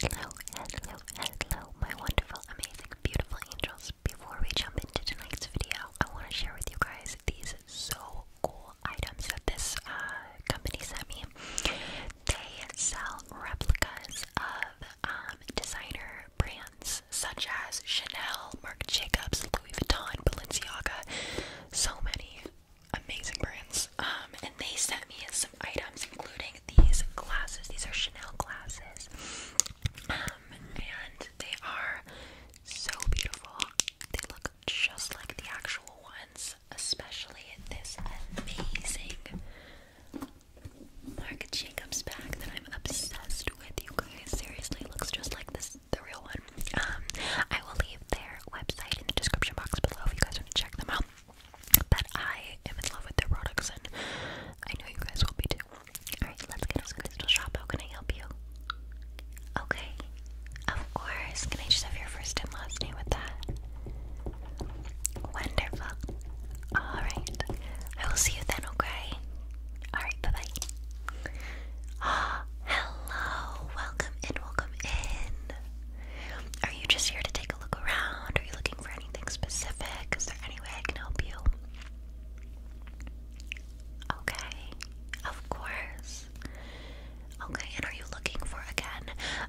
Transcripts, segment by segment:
Hello, hello, hello, my wonderful, amazing, beautiful angels. Before we jump into tonight's video, I want to share with you guys these so cool items that this uh, company sent me. They sell replicas of um, designer brands such as Chanel, Marc Jacobs, Louis Vuitton, Balenciaga, so many amazing brands. Um, and they sent me some items, including these glasses. These are Chanel glasses. Um, and they are so beautiful. They look just like the actual ones, especially this amazing Marc Jacobs bag that I'm obsessed with. You guys seriously looks just like this, the real one. Um, I will leave there website in the description box below if you guys want to check them out. But I am in love with their products, and I know you guys will be too. Alright, let's get us crystal shop. How can I help you? Okay, of course. Can I just have your first and last name with that? Wonderful. Alright, I will see you then, okay? Alright, bye bye. Ah, hello. Welcome in, welcome in. Are you just here to take a look around? Are you looking for anything specific? Is there any way I can help you? Okay, of course. Okay, and are you looking for again?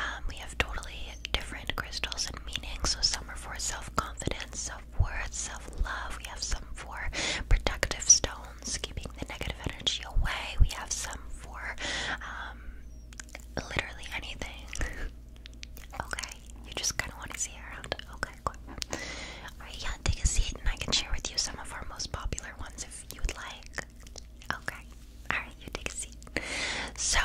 Um, we have totally different crystals and meanings. So some are for self-confidence, self-worth, self-love. We have some for protective stones keeping the negative energy away. We have some for um, literally anything. okay, you just kind of want to see around. Okay, cool. Alright, yeah, take a seat and I can share with you some of our most popular ones if you would like. Okay, alright, you take a seat. So,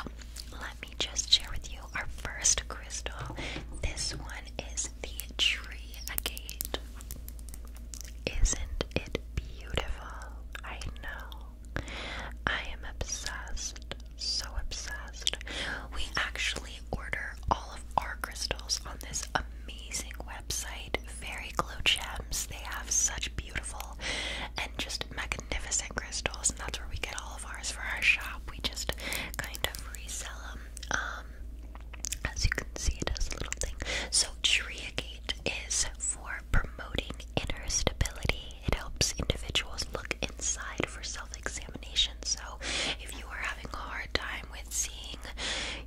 let me just share with you our first crystal. This one is the tree agate. Isn't is it beautiful? I know. I am obsessed. So obsessed. We actually order all of our crystals on this amazing website, Fairy Glow Gems. They have such beautiful and just magnificent crystals, and that's where we get all of ours for our shop. We just kind of resell them. Um, as you can see, it has a little thing. So Tria state for promoting inner stability. It helps individuals look inside for self-examination. So if you are having a hard time with seeing,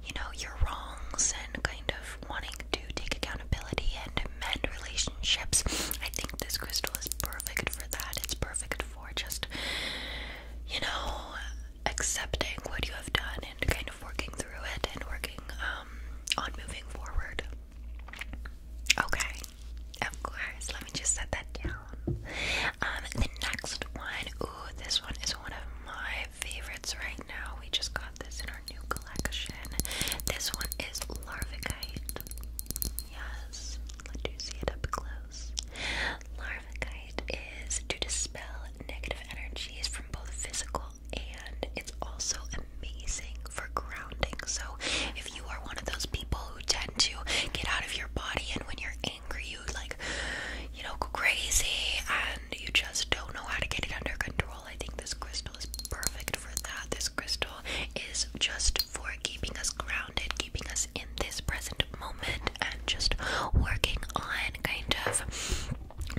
you know, your wrongs and kind of wanting to take accountability and mend relationships, I think this crystal is perfect for that. It's perfect for just, you know, accepting what you have done and kind of working through it and working um, on moving forward. Okay, of course. Let me just set that down. Um, the next one, ooh, this one is one of my favorites right now. We just got this in our new collection. This one is Larvikite. Yes, let you see it up close. Larvikite is to dispel negative energies from both physical and it's also amazing for grounding. So, if you are one of those people who tend to get out of your body and when you're angry, you like, you know, go crazy and you just don't know how to get it under control, I think this crystal is perfect for that. This crystal is just for keeping us grounded, keeping us in this present moment, and just working on kind of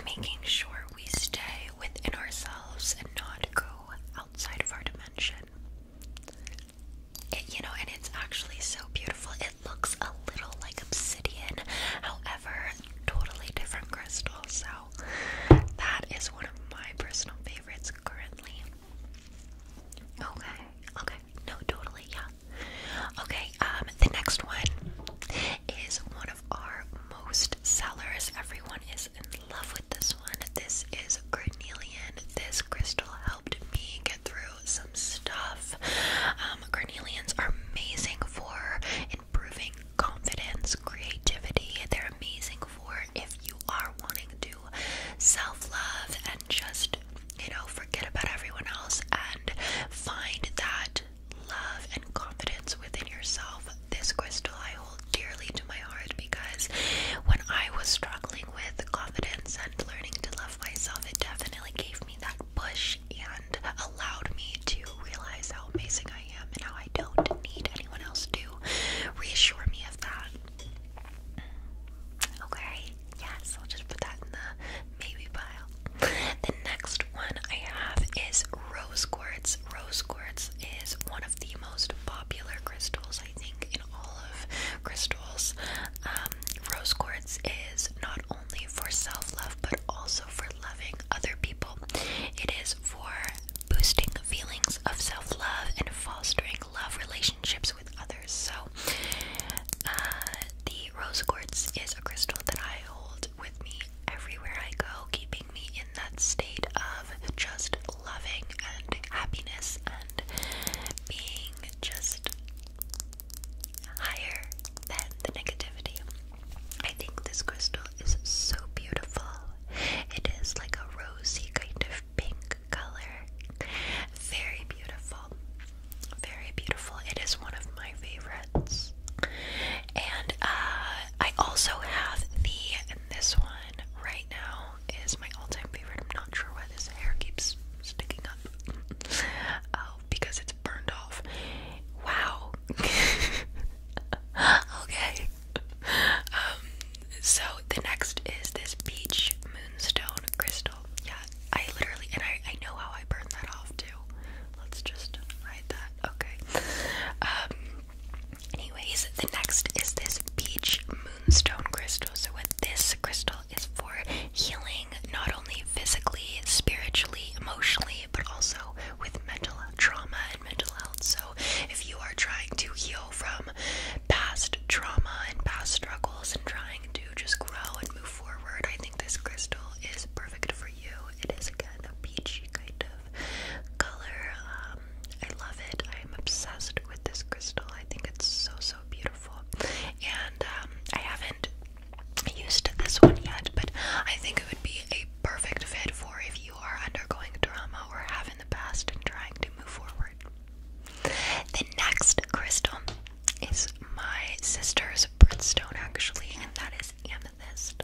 making sure we stay within ourselves and not go outside of our dimension. you know, and it's actually so beautiful. It looks a little like obsidian, however, totally different crystal. So, that is one of my personal favorites currently. Okay, okay, no, totally, yeah. Okay, um, the next one is one of our most sellers. Everyone is in love with this one. This is Carnelian. This crystal helped me get through some stuff. Um, are amazing for improving confidence, creativity. They're amazing for if you are wanting to self love and just you know, forget about everyone else and find that love and confidence within yourself. This crystal I hold dearly to my heart because when I was struggling with confidence and learning to love myself, it definitely gave me that push and allowed me to realize how amazing I am and how I don't need anyone else to reassure me of that. Okay. Yes, I'll just put that in the maybe pile. The next one I have is rose quartz. Rose quartz is one of the most popular crystals, I think, in all of crystals. Um, rose quartz is not only for self love but also for loving other people. It is for boosting feelings of self love and fostering love relationships with others. So, uh, the rose quartz is a crystal that I hold with me everywhere I go, keeping me in that state of just loving and happiness and being just higher than the negativity. I think this crystal is so beautiful. It is like a rosy kind of pink color. Very beautiful. Very beautiful. It is one of my favorites. And uh, I also have the, and this one right now is my all time favorite. I'm not sure why this hair keeps sticking up. oh, because it's burned off. Wow. okay. Um, so the next is this Peach Moonstone Crystal crystal. Yeah, I literally and I I know how I burn that off too. Let's just hide that. Okay. Um. Anyways, the next is this beach moonstone crystal. So what this crystal is for healing, not only physically, spiritually, emotionally, but also with mental trauma and mental health. So if you are trying to heal from past trauma and past struggles and trying to just grow and move forward, I think this crystal is perfect for you. It is kind of peachy kind of color. Um, I love it. I am obsessed with this crystal. I think it's so so beautiful. And um, I haven't used this one yet, but I think it would be a perfect fit for if you are undergoing drama or having the past and trying to move forward. The next crystal is my sister's birthstone, actually, and that is amethyst.